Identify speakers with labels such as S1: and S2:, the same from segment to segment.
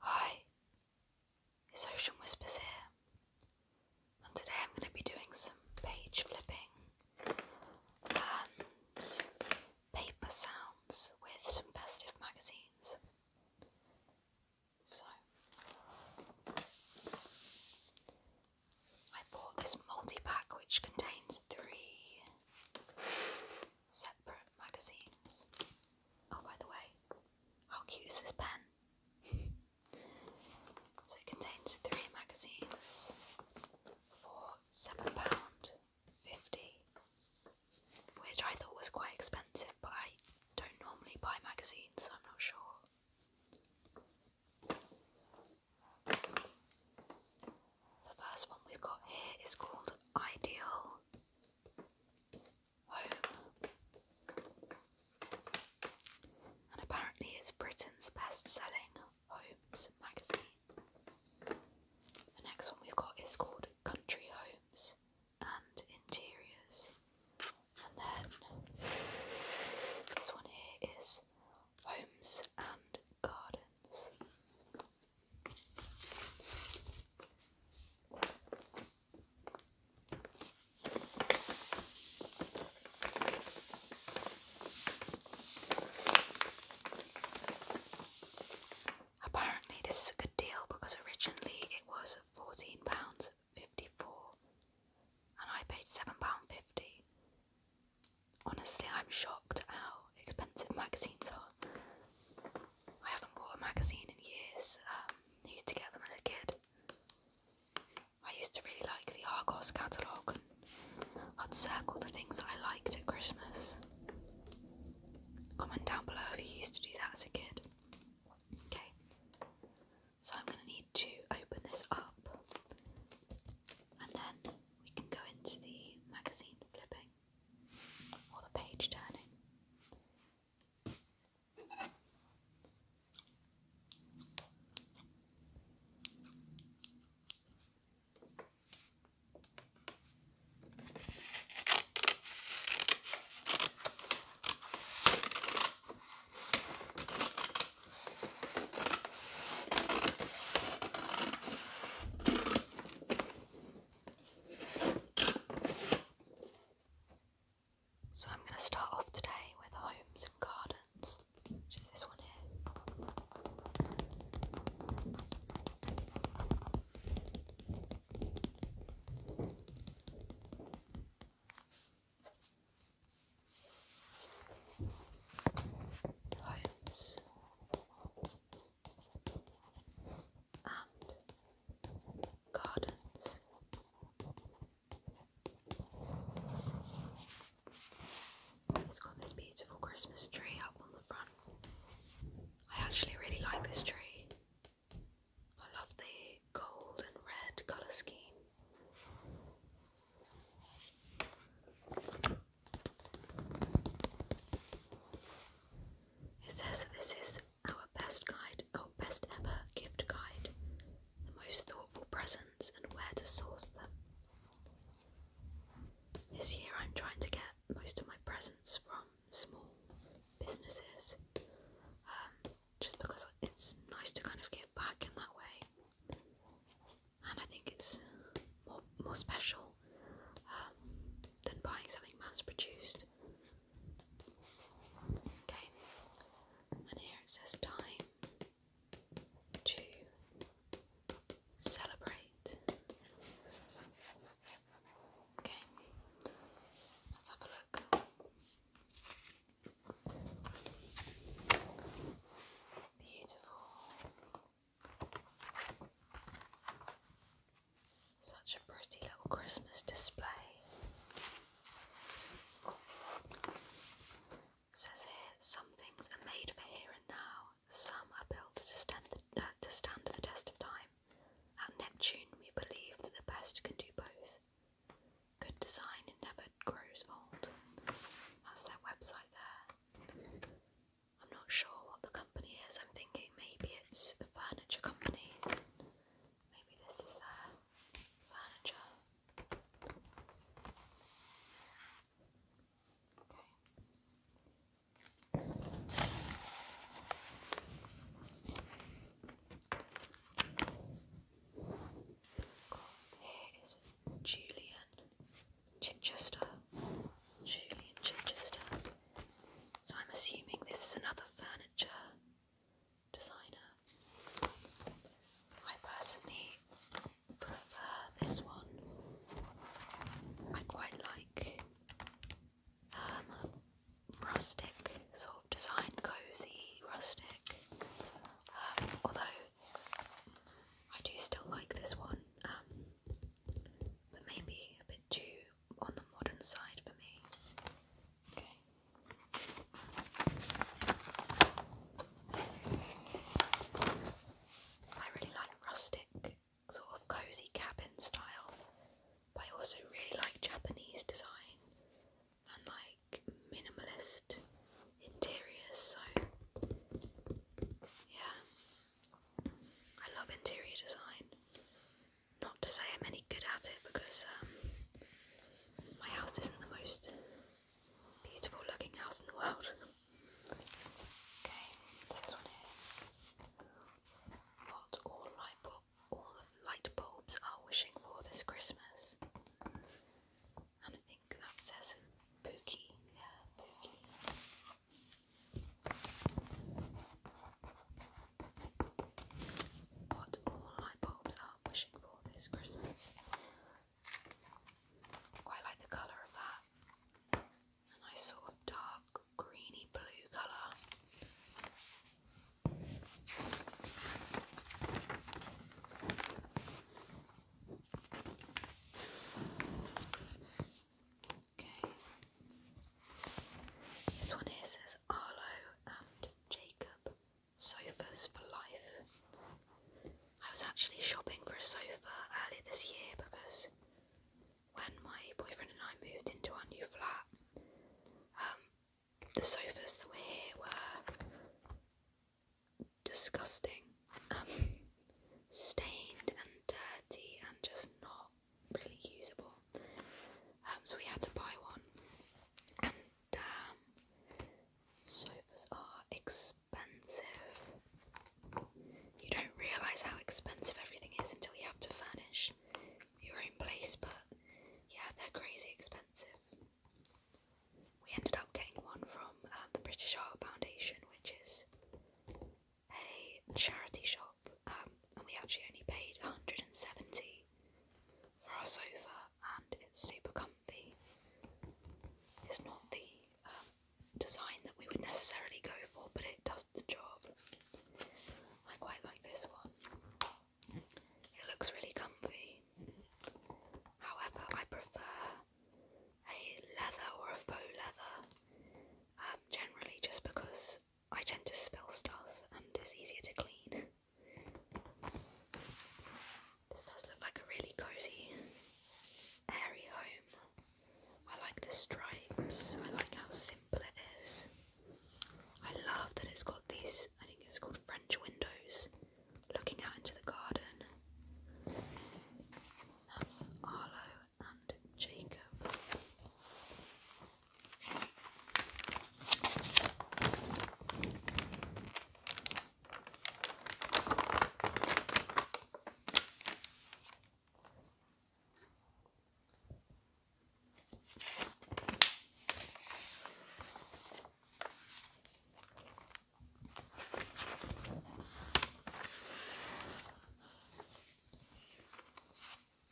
S1: Hi, it's Ocean Whispers here, and today I'm going to be doing some page flipping and paper sounds with some festive magazines. So, I bought this multi pack which contains three separate magazines. Oh, by the way, how cute is this pen? so it contains three magazines for £7.50, which I thought was quite expensive, but I don't normally buy magazines, so I'm not sure. The first one we've got here is called Ideal Home, and apparently it's Britain's best-selling homes magazine. The next one we've got is called Country Homes and Interiors, and then this one here is homes and gardens. Apparently, this is a good deal because originally it was £14.54 and I paid £7.50. Honestly, I'm shocked how expensive magazines are. I haven't bought a magazine in years. Um, I used to get them as a kid. I used to really like the Argos catalogue, and I'd circle the things I liked at Christmas. Comment down below if you used to do that as a kid. Okay, so I'm going to need to open this up and then we can go into the magazine flipping or the page turning. So I'm going to start off today with homes and gardens, which is this one here. Homes and gardens. It's got this beautiful Christmas tree up on the front. I actually really like this tree. I love the gold and red colour scheme. It says that this is our best guide, our best ever gift guide, the most thoughtful presents and where to source them. This year I'm trying to get most of my presents from small businesses um, just because it's nice to kind of give back in that way and I think it's more, more special um, than buying something mass produced. Okay, and here it says time to celebrate. Okay, let's have a look. Beautiful. Such a pretty little Christmas display. says here, some things are made for here and now, some are built to stand uh, to stand the test of time. At Neptune, we believe that the best can do both. Good design never grows old. That's their website there. I'm not sure what the company is. I'm thinking maybe it's a furniture company. Maybe this is their furniture. Okay. Here is Julian. Chichester, Julian Chichester. So I'm assuming this is another furniture designer. I personally prefer this one. I quite like um, rustic sort of design, cozy, rustic. Um, although I do still like this one. Um, but maybe a bit too on the modern side for me. Okay. I really like rustic, sort of cozy cabin style, but I also really like Japanese design and like minimalist interiors, so yeah, I love interior design. Not to say I'm any good at it because um, my house isn't the most beautiful looking house in the world. okay, What all light, bulb, all light bulbs are wishing for this Christmas. And I think that says Pookie. What all my bulbs are wishing for this Christmas. Quite like the colour of that. A nice sort of dark greeny blue colour. Okay. This one here says Arlo and Jacob Sofas for Life. I was actually shopping for a sofa earlier this year because when my boyfriend and I moved into our new flat, um, the sofas that were here were disgusting, um, stained and dirty and just not really usable. Um, so we had to buy one, and um, sofas are expensive. You don't realise how expensive everything is until you have to furnish your own place, but yeah, they're crazy expensive. We ended up getting one from the British Art Foundation, which is a charity shop, um, and we actually only paid 170 for our sofa, and it's super comfy. It's not the um, design that we would necessarily go for, but it does the job. I quite like this one. It looks really comfy. However, I prefer a leather or a faux leather, um, generally just because I tend to spill stuff and it's easier to clean. This does look like a really cosy, airy home. I like the stripes, I like how simple it is. I love that it's got these, I think it's called French windows, looking out into the garden. That's Arlo and Jacob.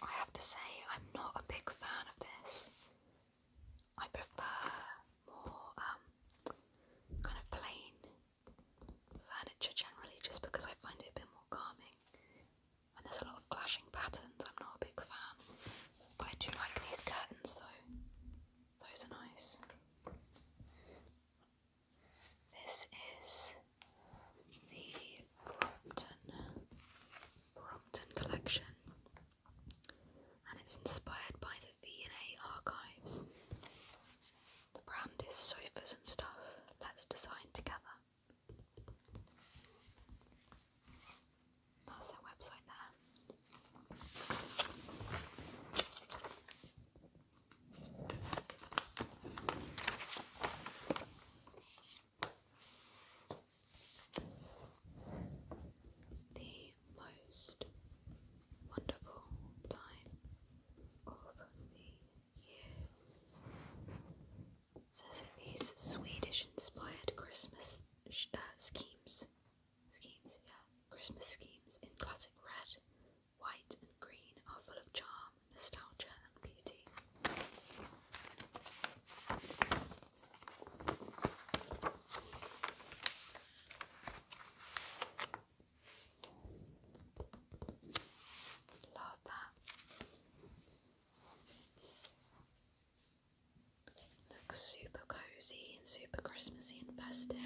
S1: I have to say, I'm not a big fan of this. I prefer more um, kind of plain furniture generally, just because I find it a bit more calming. And there's a lot of clashing patterns, I'm not a big fan. But I do like these curtains though, those are nice. This is the Brompton Brompton collection, and it's inspired by the V&A archives. The brand is Sofas and Stuff. Let's design together. That's their website there. The most wonderful time of the year says these Swedish inspired Christmas uh, schemes, schemes, yeah, Christmas schemes in classic red white and green are full of charm, nostalgia, and beauty. Love that. Looks super cozy and super Christmassy and festive.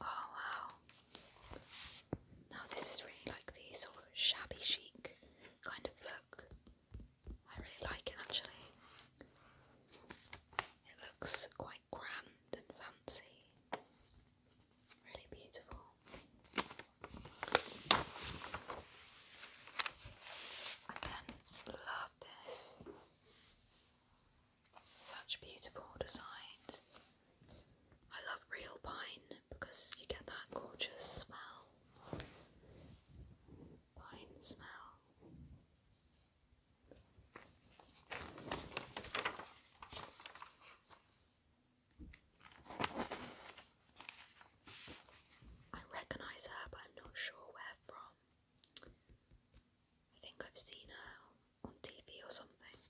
S1: Oh wow. Now this is really like the sort of shabby chic kind of look. I really like it actually. It looks quite grand and fancy. Really beautiful. Again, Love this. Such beautiful designs. I love real pine because you get that gorgeous smell. Pine smell. I recognise her, but I'm not sure where from. I think I've seen her on TV or something.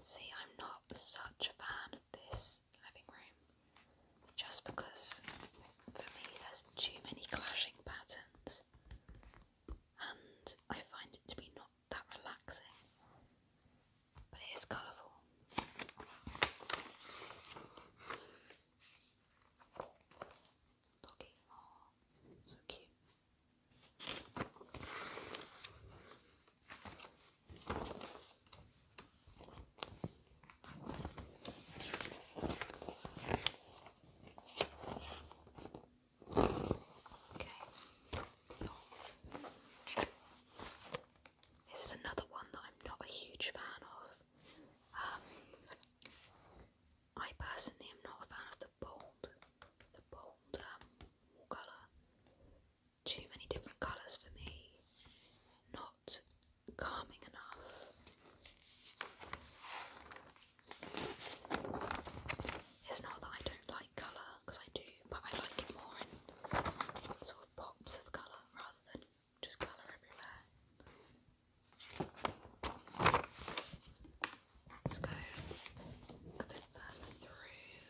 S1: See, I'm not such a fan of this living room just because for me there's too many clashing patterns and I find it to be not that relaxing, but it is colourful. Doggy, oh, so cute. This is another one that I'm not a huge fan of. Um, I personally am not a fan of the bold, the bold um, colour. Too many different colours for me. Not calming enough. It's not that I don't like colour, because I do, but I like it more in sort of pops of colour rather than just colour everywhere. Let's go a bit further through.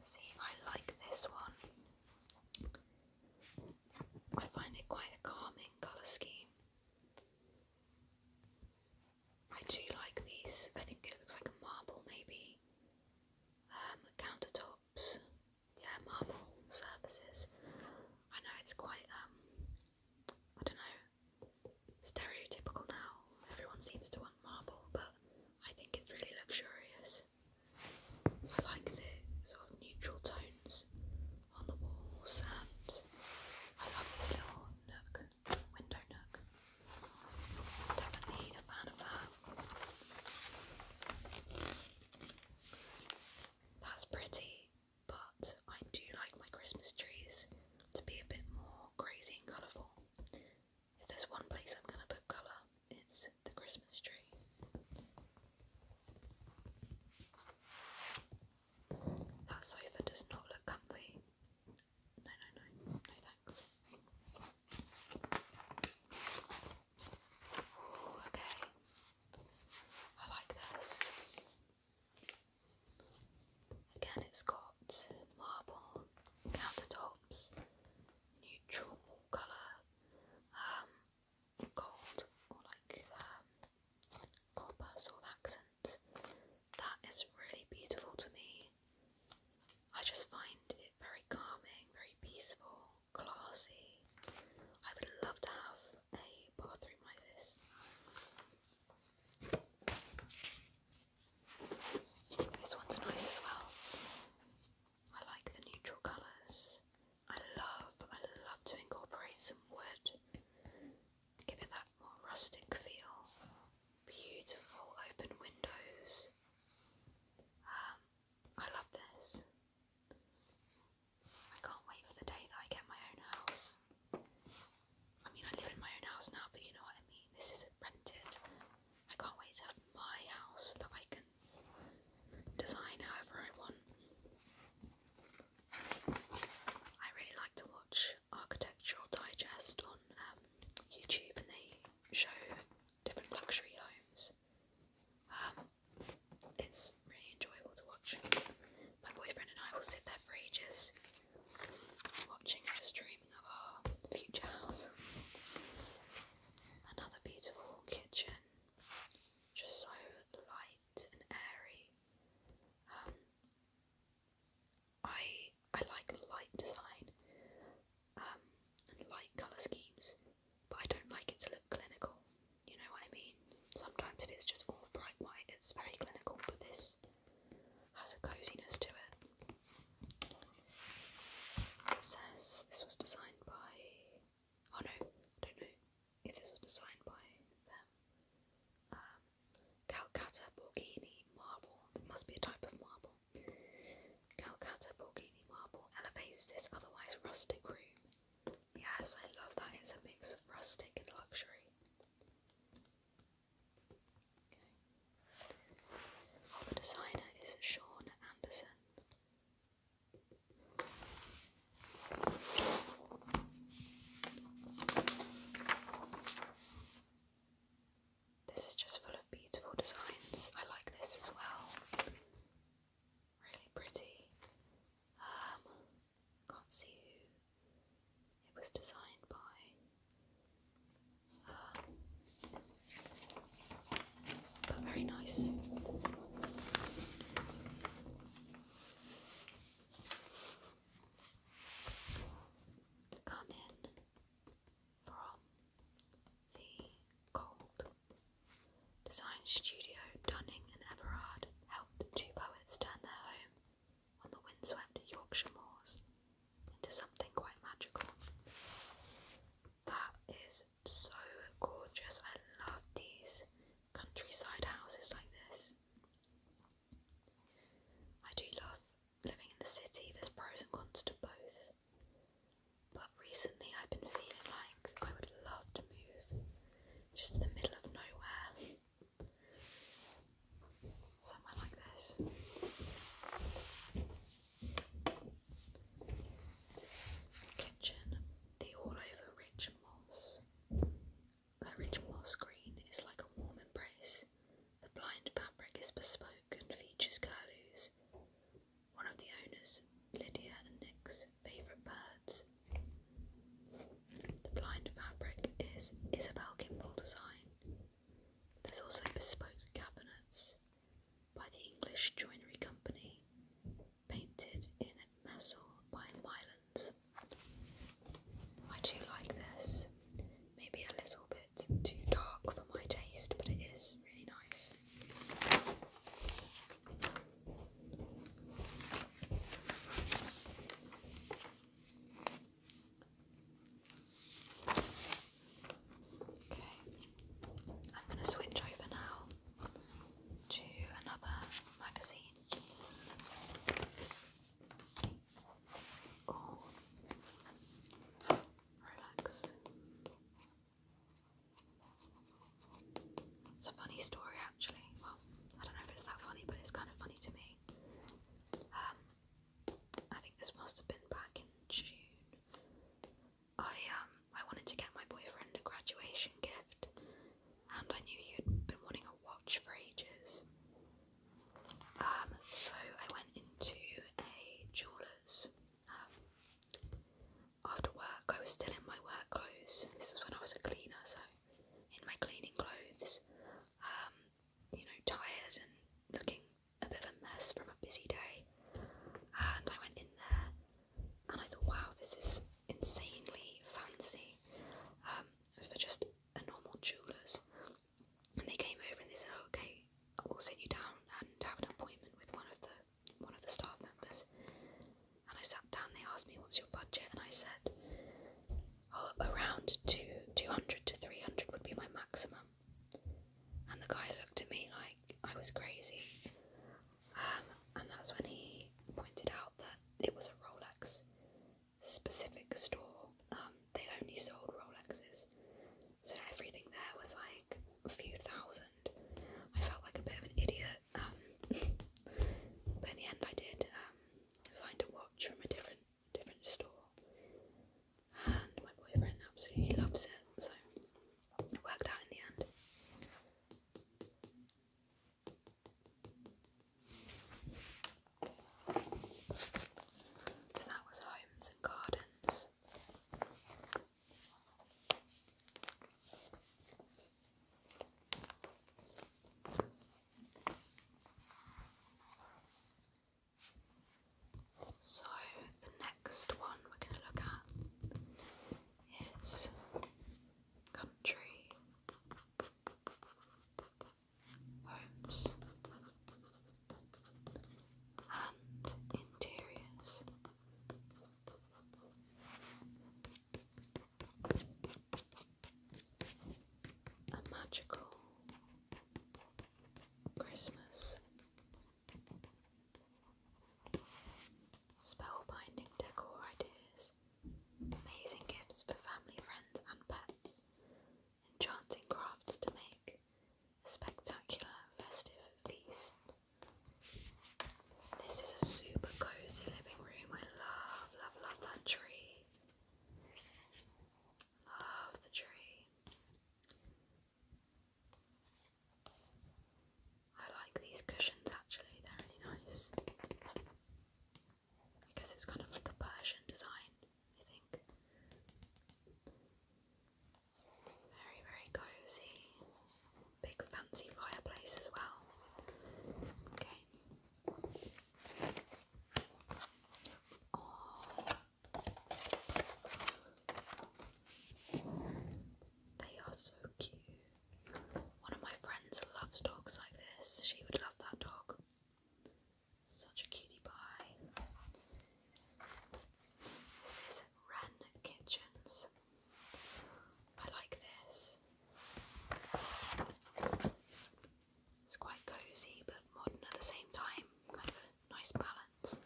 S1: See, I like this one. I find it quite a calming colour scheme. I do like these. I think it looks like marble, maybe. Um, countertops. Yeah, marble surfaces. I know it's quite, um, I don't know, stereotypical now. Everyone seems to want marble, but I think it's really luxurious. I like the sort of neutral tones on the walls, and I love this little nook, window nook. Definitely a fan of that. That's pretty, but I do like my Christmas trees to be a bit more crazy and colourful. If there's one place I'm going to put colour, it's the Christmas tree. That sofa does not look comfy. No, no, no. No thanks. okay. I like this. Again, it's got marble countertops, neutral colour. Um, gold or like um, copper sort of accents. That is really beautiful to me. I just find it very calming, very peaceful, classy. I would love to have a bathroom like this. This one's nice as well. I like the neutral colours. I love, I love to incorporate some wood, give it that more rustic feel. Beautiful open windows. Um, I love this. I can't wait for the day that I get my own house. I mean, I live in my own house now, but you know what I mean? This is rented. I can't wait to have my house that I can design however I want. I really like to watch Architectural Digest on um, YouTube, and they show different luxury homes. Um, it's really enjoyable to watch. My boyfriend and I will sit there for ages, watching and just dreaming of our future house. Another beautiful kitchen, just so light light and airy. Um, I I like light design um, and light colour schemes, but I don't like it to look clinical. You know what I mean? Sometimes if it's just all bright white, it's very clinical, but this has a coziness to It says this was designed by. Oh no, I don't know if this was designed by them. Um, Calcutta Borghini marble. There must be a type of marble. Calcutta Borghini marble elevates this otherwise rustic room. Yes, I love that. It's a mix of rustic and luxury. The designer is Sean Anderson. This is just full of beautiful designs. I like this as well. Really pretty. Um, can't see who it was designed by. Um, but very nice come in from the cold. Design studio Dunning and Everard helped two poets turn their home on the windswept Yorkshire moors into something quite magical. That is so gorgeous. I love these countryside houses like this. I do love living in the city, there's pros and cons to both. But recently I've been feeling like I would love to move just to the middle of nowhere. Somewhere like this. Kitchen, the all over rich moss. A rich moss green is like a warm embrace. The blind fabric is bespoke and features curlews, one of the owners, Lydia and Nick's favourite birds. The blind fabric is Isabel Kimball design. There's also bespoke cabinets by the English Joinery Company painted in Messel by Mylands. I do like this. Maybe a little bit too dark for my taste, but it is really nice. Okay, I'm going to switch over now to another magazine or relax. It's a funny story, actually. Well, I don't know if it's that funny, but it's kind of funny to me. Um, I think this must have been back in June. I um, I wanted to get my boyfriend a graduation gift, and I knew you had been wanting a watch for ages. Um, so I went into a jeweller's. Um, after work, I was still in my work clothes. This was when I was a cleaner, so in my cleaning clothes, um, you know, tired and looking a bit of a mess from a busy day. And I went in there and I thought, wow, this is insanely fancy um, for just a normal jeweller's. And they came over and they said, oh, okay, we'll sit you down and have an appointment with one of the one of the staff members. And I sat down. They asked me, what's your budget? And I said, oh, around two two hundred to three hundred would be my maximum. And the guy looked at me like I was crazy and that's when he pointed out that it was a Rolex specific store. Um, they only sold Rolexes, so everything there was like a few thousand. I felt like a bit of an idiot, um, but in the end, I did um, find a watch from a different different store, and my boyfriend absolutely loves it, so it worked out in the end. So that was homes and gardens. So the next one we're going to look at is country homes and interiors. A magical Christmas. Spellbinding decor ideas Amazing gifts for family, friends, and pets. Enchanting crafts to make a spectacular festive feast. This is a super cozy living room. I love, love, love that tree. Love the tree. I like these cushions actually, they're really nice. I guess it's kind of like a Persian design, I think. Very, very cozy. Big fancy fireplace as well. Okay. They are so cute. One of my friends loves dogs like this. She would love that dog. Such a cutie pie. This is Wren Kitchens. I like this. It's quite cozy but modern at the same time. Kind of a nice balance.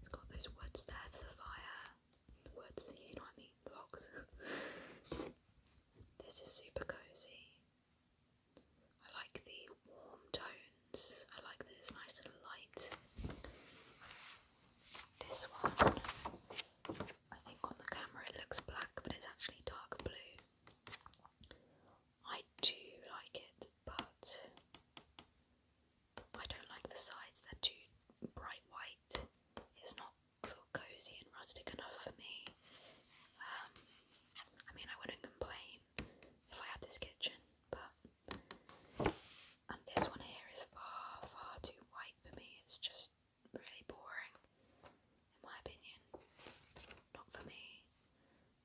S1: It's got those woods there for the fire words, you know what I mean, blocks. this is super cozy. I like the warm tones, I like this nice little light. This one, I think on the camera it looks black, but it's actually dark blue. I do like it, but I don't like the sides, they're too bright white. It's not sort of cozy and rustic enough for me. Um, I mean, I wouldn't complain if I had this kitchen, but and this one here is far, far too white for me. It's just really boring, in my opinion. Not for me.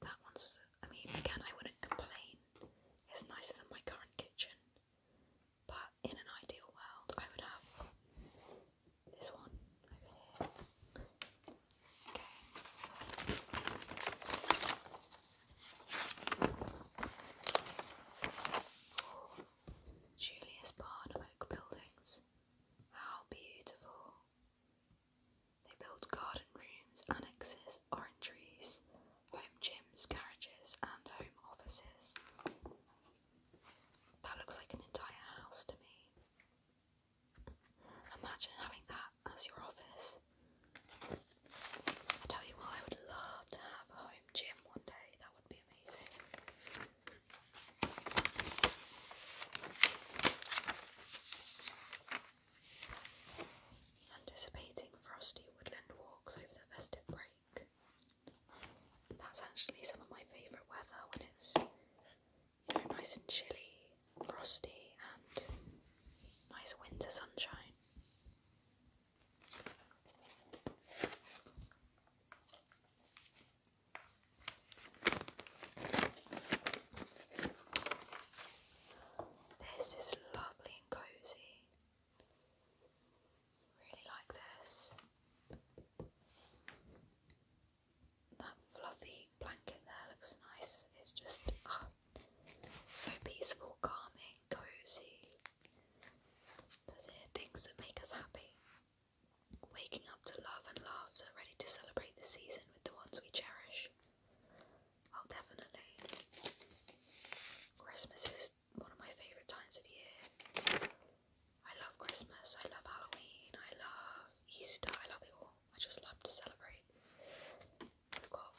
S1: That one's. I mean, again, I wouldn't complain. It's nicer than my current kitchen, but in an ideal world, I would have this one over here. Okay. Julius Barn Oak Buildings. How beautiful! They built garden rooms, annexes, orangeries, home gyms, carriages, and home offices. That looks like an entire house to me. Imagine having that as your office. I tell you what, I would love to have a home gym one day. That would be amazing. Anticipating frosty woodland walks over the festive break. That's actually some of my favourite weather when it's you know nice and chilly, frosty, and nice winter sunshine. This is lovely and cozy. Really like this. That fluffy blanket there looks nice. It's just ah, so peaceful, calming, cozy. Says here things that make us happy. Waking up to love and laughter, ready to celebrate the season with the ones we cherish. Oh, definitely. Christmas is one of my favourite times of year. I love Christmas, I love Halloween, I love Easter, I love it all. I just love to celebrate. We've got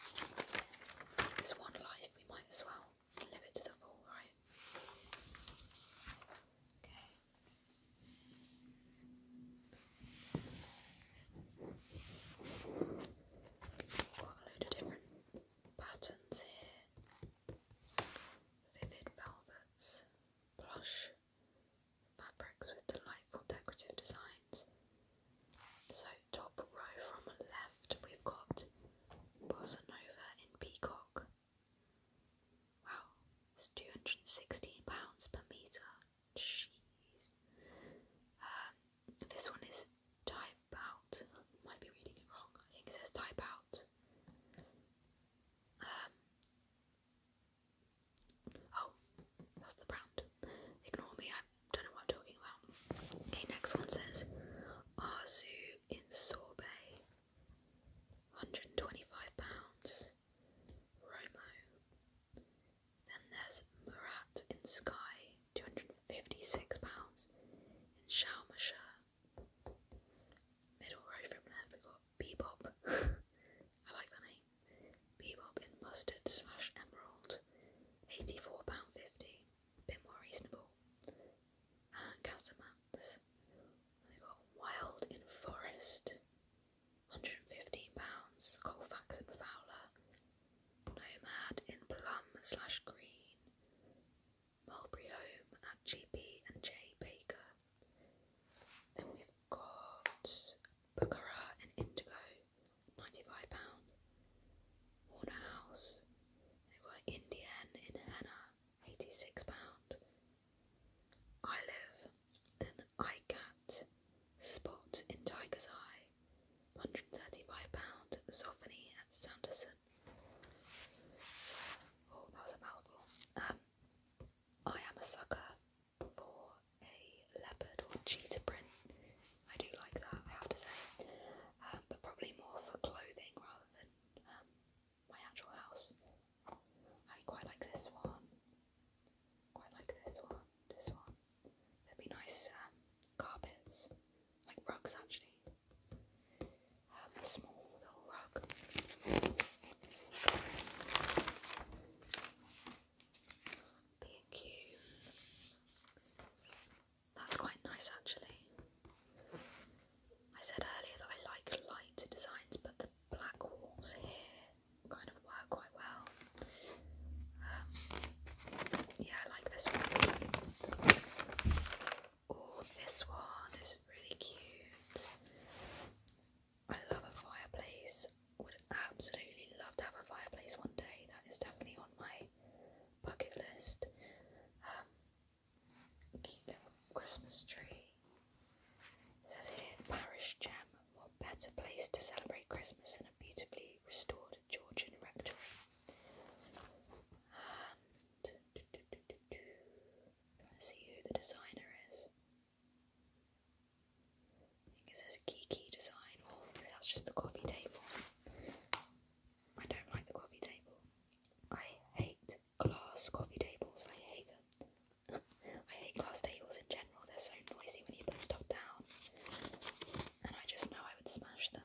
S1: this one life, we might as well live it to the full, right? Okay. we a load of different patterns here, vivid velvets, plush fabrics with delightful decorative designs. So, top row from left, we've got Bossa in Peacock. Wow, it's £216 per metre. Jeez. Um, this one is type type I might be reading it wrong. I think it says type out. Um, oh, that's the brand. Ignore me, I don't know what I'm talking about. Okay, next one says Arzu in sorbet, £125. Romo. Then there's Murat in Sky, £256. In Shalmasher, Middle row from left, we got Bebop. I like that name. Bebop in mustard slash emerald, £84.50. Bit more reasonable. And Casamance. We got Wild in Forest, £115. Colfax and Fowler. Nomad in Plum slash Green, Mulberry Home at GB and J Baker. Then we've got Bookerah and Indigo, £95. Warner House. We've got Indian in Henna, £86. I Live and iCat Spot in Tiger's Eye, £135. Zophany at Sanderson oh, that was a mouthful. Um, I am a sucker for a leopard or cheetah print. I do like that, I have to say. Um, but probably more for clothing rather than um, my actual house. I quite like this one. Quite like this one. This one. There'd be nice carpets like rugs actually. Um, a small little rug. B&Q. That's quite nice actually. I said earlier that I like light designs, but the black walls here kind of work quite well. Um, yeah, I like this one. Oh, this one is really cute. I love a fireplace. Would absolutely love to have a fireplace one day. That is definitely on my bucket list. Um, Christmas tree. It says here, Parish Gem. What better place to celebrate Christmas than a beautifully restored Georgian rectory? Um, see who the designer is. I think it says Kiki Design, oh, maybe that's just the coffee table. I don't like the coffee table. I hate glass coffee tables. I hate them. I hate glass tables in general. They're so noisy when you put stuff down. And I just know I would smash them.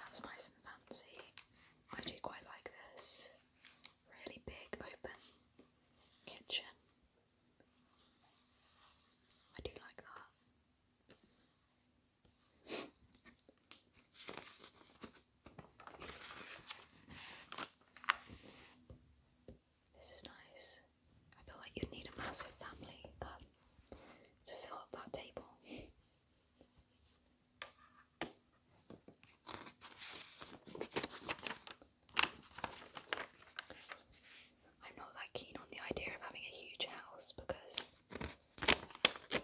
S1: That's nice and fancy. I do quite like this really big open kitchen. I do like that. This is nice. I feel like you'd need a massive family that, to fill up that table. I'm not that keen on the idea of having a huge house because I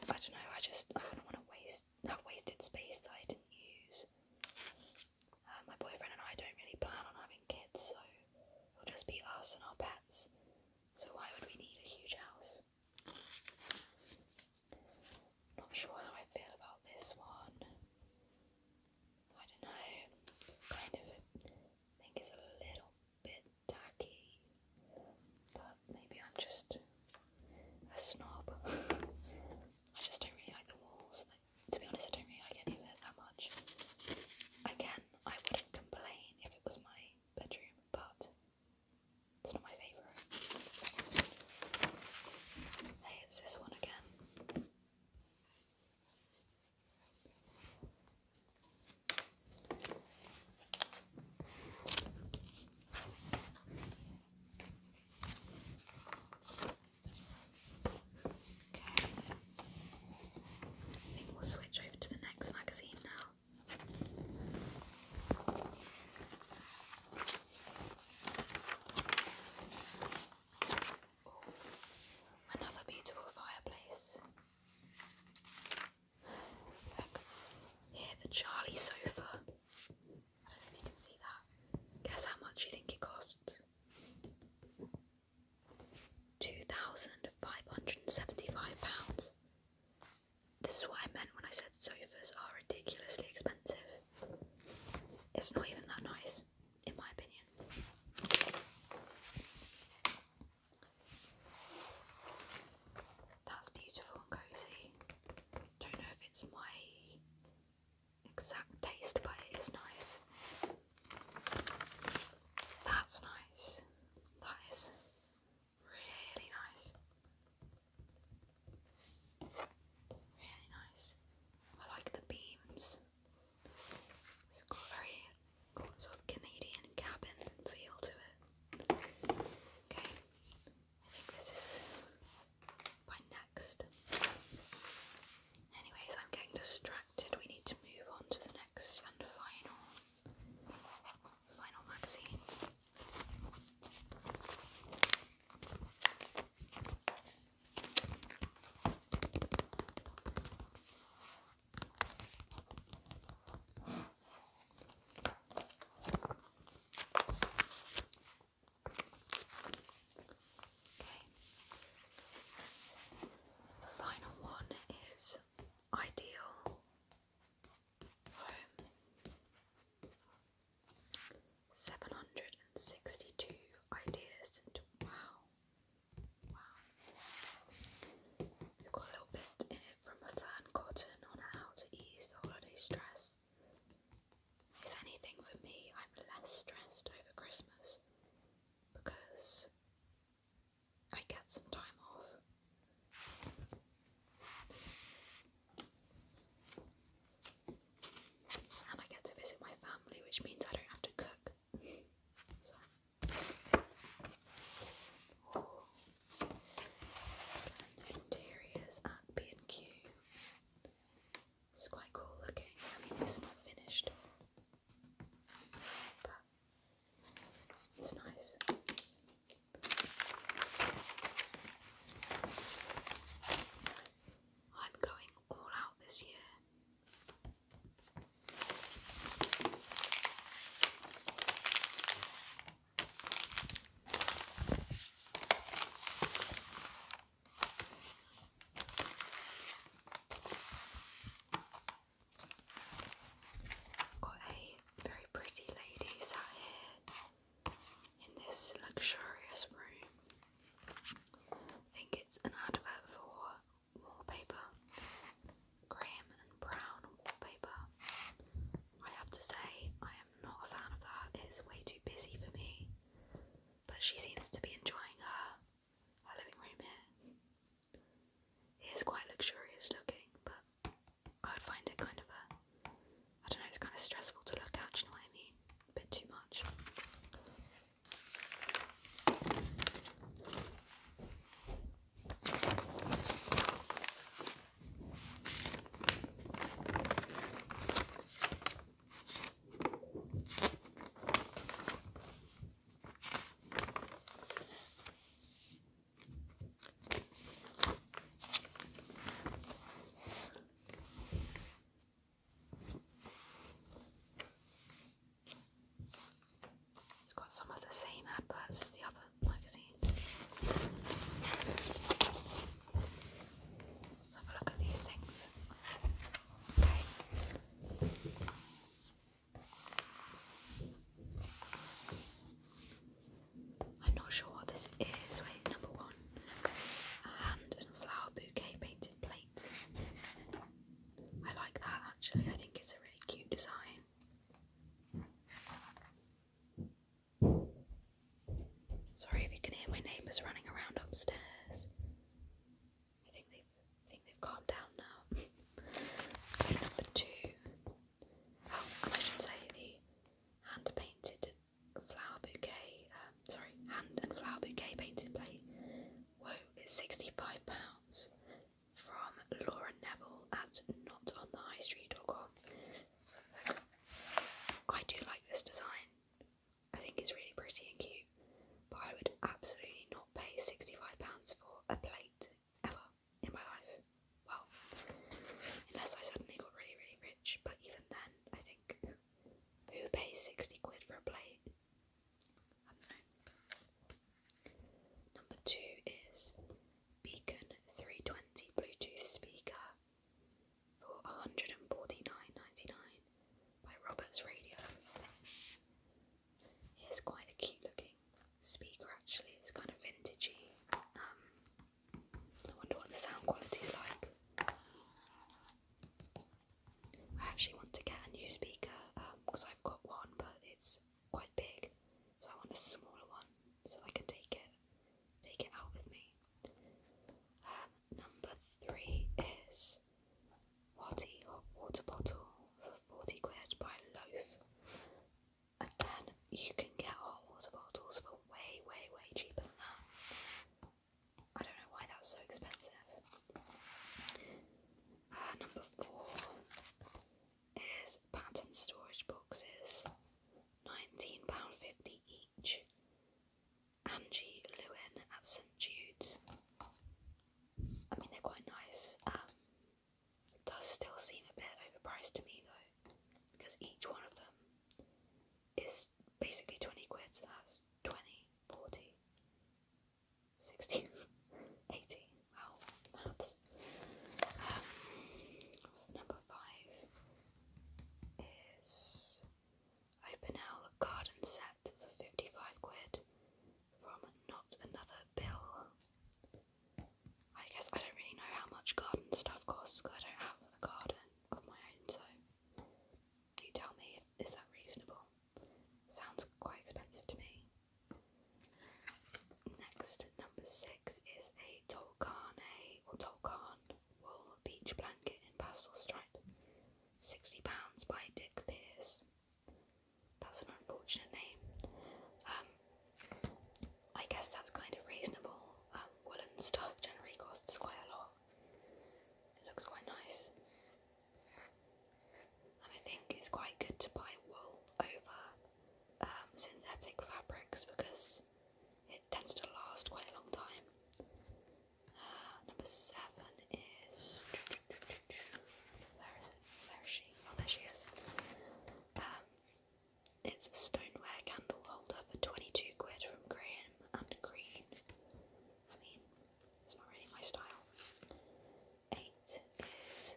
S1: don't know, I just I don't want to waste that wasted space that I didn't use. Uh, my boyfriend and I don't really plan on having kids, so it'll just be us and our pets. So why would we need a huge house? Not sure how I feel about this one. I don't know. Kind of think it's a little bit tacky, but maybe I'm just a snob. I just don't really like the walls to be honest, I don't really like any of it that much. Again, I wouldn't complain if it was my bedroom, but it's not my favourite. Hey, it's this one again. Okay. I think we'll switch over to the next magazine now. another beautiful fireplace. Look, here the Charlie sofa. I don't know if you can see that. Guess how much you think it cost? £2,575. This is what I meant when I said sofas are ridiculously expensive. It's not even that nice, in my opinion. That's beautiful and cozy. Don't know if it's my exact taste, but it is nice. That's nice. That is really nice. Really nice. I like the beams. It's got a very sort of Canadian cabin feel to it. Okay, I think this is by next. Anyways, I'm getting distracted. We need to move on to the next and final final magazine. Okay. The final one is ideal home. 762 ideas and wow. Wow. We've got a little bit in it from a fern cotton on how to ease the holiday stress. If anything, for me, I'm less stressed over Christmas because I get some time off. And I get to visit my family, which means I don't have to cook. interiors at B&Q. It's quite cool looking. I mean, it's not finished, but it's nice. I'm going all out this year. Got a very pretty lady sat here in this luxurious room. I think it's an advert for wallpaper, graham and brown wallpaper. I have to say, I am not a fan of that, it's way too busy for me but she seems to be enjoying her, her living room here. It is quite luxurious looking, but I would find it kind of a. I don't know, it's kind of stressful to look at, what I mean? A bit too much. It's got some of the same adverts as the other magazines. have a look at these things. I'm not sure what this is. Wait, number one. A hand and flower bouquet painted plate. I like that actually, I think it's a really cute design. Sorry if you can hear my neighbours running around upstairs. I think they've I think they've calmed down now. number two. Oh, and I should say the hand painted flower bouquet. Um, sorry, hand and flower bouquet painted plate. Whoa, it's sixty-five pounds from Laura Neville at notonthehighstreet.com. I do like this design. I think it's really pretty and cute, but I would absolutely not pay £65 for a plate ever in my life. Well, unless I suddenly got really, really rich, but even then, I think who pays 60 quid for a plate? Number two is Beacon 320 Bluetooth speaker for 149 dollars by Roberts Radio. It's quite a cute looking speaker actually, it's kind of vintagey. Um, I wonder what the sound quality's like. I actually want to get a new speaker because um, I've got one but it's quite big so I want a smaller one so I can take it take it out with me number three is Watty hot water bottle for 40 quid by Loaf. Again, you can get hot water bottles for way, way, way cheaper than that. I don't know why that's so expensive. Uh, number four is pattern storage boxes, £19.50 each. Angie Lewin at St Jude's. I mean, they're quite nice. Um, it does still seem a bit overpriced to me though, because each one of them is basically 20 quid, so that's 20, 40, 60, 80. Wow, maths. Um, number five is Open Owl garden set for 55 quid from Not Another Bill. I guess I don't really know how much garden stuff costs I don't have a garden of my own, so you tell me, is that reasonable? Sounds quite expensive to me. Next, number six is a Tolkane or Tolkane wool beach blanket in pastel stripe. £60 by Dick Pierce. That's an unfortunate name. Um, I guess that's kind of reasonable. Um, woolen stuff generally costs quite a lot. It looks quite nice. And I think it's quite good to buy wool over um, synthetic fabrics because it tends to last quite a long time. Number seven is where is it? Where is she? Oh, there she is. Um, it's a stoneware candle holder for twenty-two quid from Graham and Green. I mean, it's not really my style. Eight is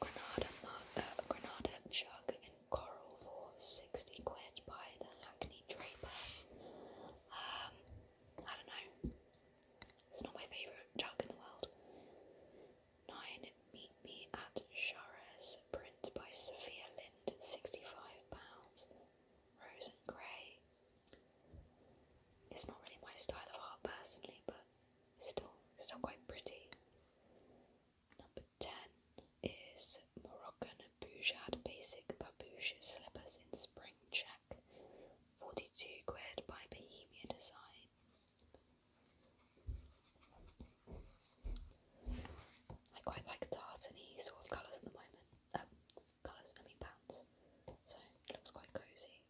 S1: Granada mug, uh, Granada jug in coral for sixty quid by the Hackney Draper. Um, I don't know. It's not my favourite jug in the world. 9. Meet Me at Charez, print by Sophia Lind, £65. Rose and Grey. It's not really my style of art personally, but still, still quite pretty. Number 10 is Moroccan Bouchard basic babouche slippers in spring check, 42 quid by Bohemia Design. I quite like tartany sort of colours at the moment. Um, colours, I mean pants. So it looks quite cosy.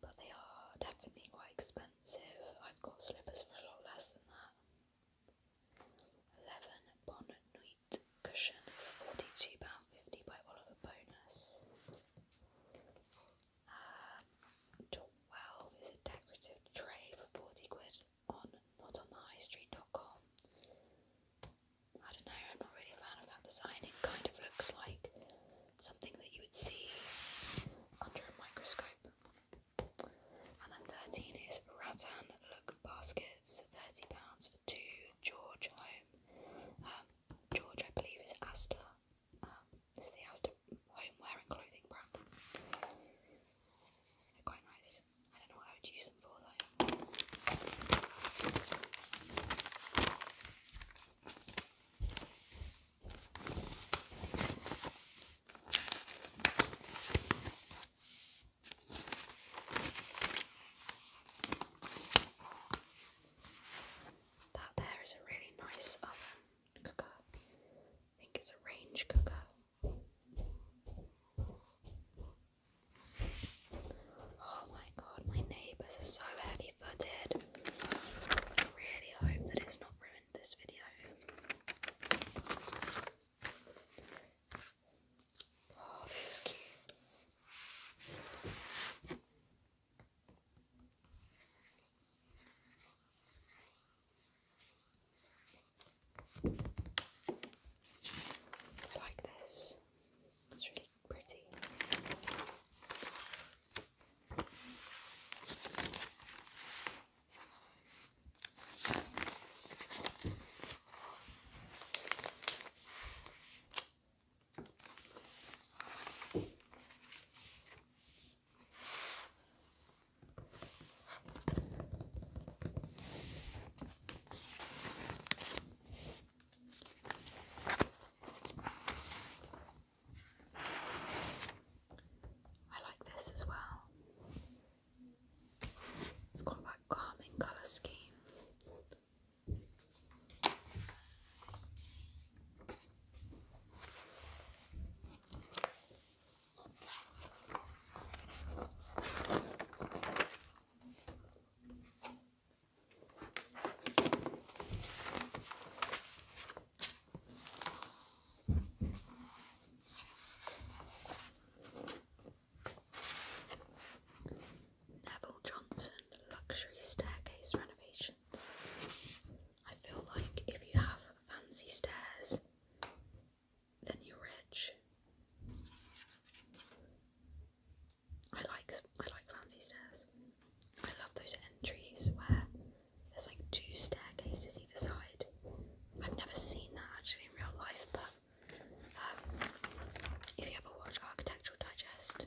S1: But they are definitely quite expensive. I've got slippers for a lot less than that. Eleven Bon Nuit Cushion, £42.50 by Oliver Bonus. Um, 12 is a decorative tray for 40 quid on notonthehighstreet.com. I don't know, I'm not really a fan of that design. It kind of looks like something that you would see under a microscope. And then 13 is Rattan Look baskets, thirty pounds for two. George Home, um, um, George I believe is Asda. this um, is the Asda homeware and clothing brand. They're quite nice. I don't know what I would use them for though. That there is a really nice oven cooker. I think it's a range cooker. Oh my god, my neighbours are so heavy footed. I really hope that it's not ruined this video. Oh, this is cute. I like this. It's really pretty. I like this as well. It's got that calming colour scheme. Neville Johnson Luxury Staircase Renovations. I feel like if you have fancy stairs, then you're rich. I like I like fancy stairs. I love those entries where there's like two staircases either side. I've never seen that actually in real life, but if you ever watch Architectural Digest,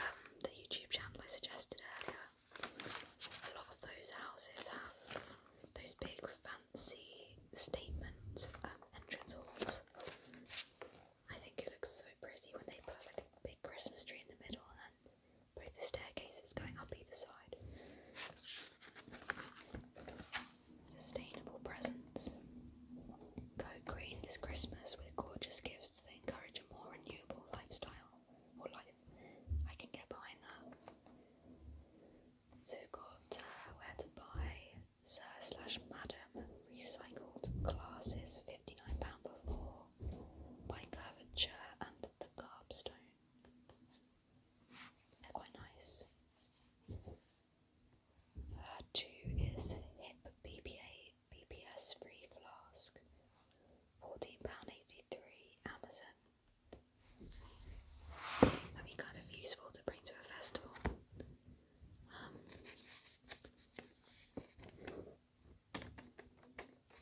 S1: um, the YouTube channel I suggested earlier, a lot of those houses have those big fancy statement um, entrance halls. I think it looks so pretty when they put like a big Christmas tree in the middle and both the staircases going up either side. Sustainable presents. Go green this Christmas with gorgeous gifts that encourage a more renewable lifestyle or life. I can get behind that. Zugot, uh, where to buy Sir slash Madam recycled glasses, £59 for four, by Curvature and the Garbstone. They're quite nice. two is hip BPA BPS free flask, fourteen pound eighty three, Amazon. That'd kind of useful to bring to a festival. Um,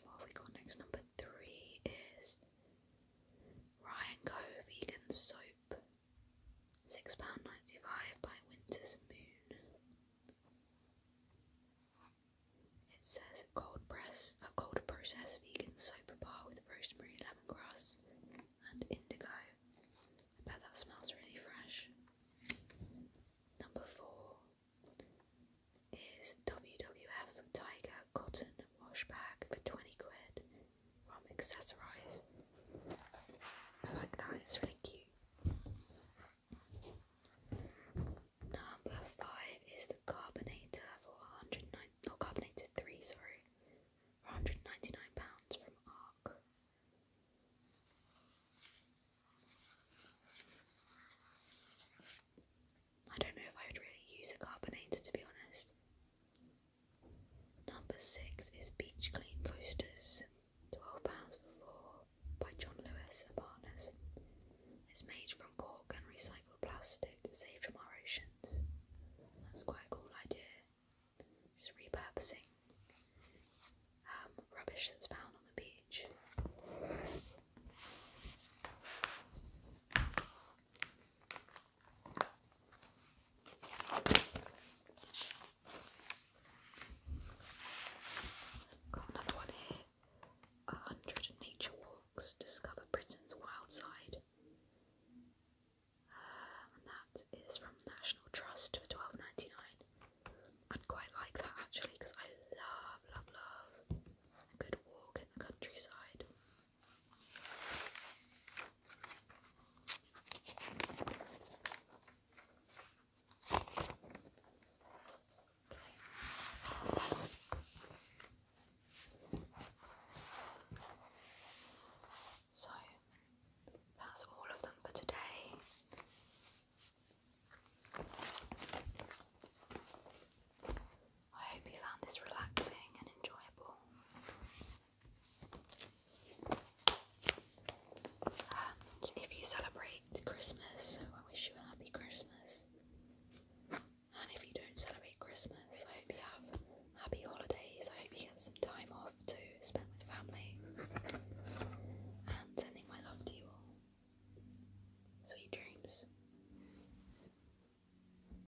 S1: what have we got next? Number three is Ryan vegan soap. £6.95 by Winter's Moon. It says a cold press, a cold process vegan soap bar with rosemary, lemongrass, and indigo. I bet that smells really fresh. Number four is WWF Tiger Cotton Wash Bag for 20 quid um, accessorize. I like that, it's really cute. Number five is the Carbonator for 109 or Carbonator 3, sorry, £199 from ARC. I don't know if I would really use a carbonator to be honest. Number six is Beach Clean Coasters, £12 for four, by John Lewis and Partners. It's made from cork and recycled plastic saved from our oceans. That's quite a cool idea. Just repurposing um, rubbish that's found on the beach another one here. A hundred nature walks discover Britain's wild side. Uh, and that is from National Trust for twelve ninety nine. I'd quite like that actually because I love, love, love a good walk in the countryside. So that's all of them for today. I hope you found this relaxing and enjoyable. And if you celebrate Christmas, I wish you a happy Christmas. And if you don't celebrate Christmas, I hope you have happy holidays. I hope you get some time off to spend with family. And sending my love to you all. Sweet dreams.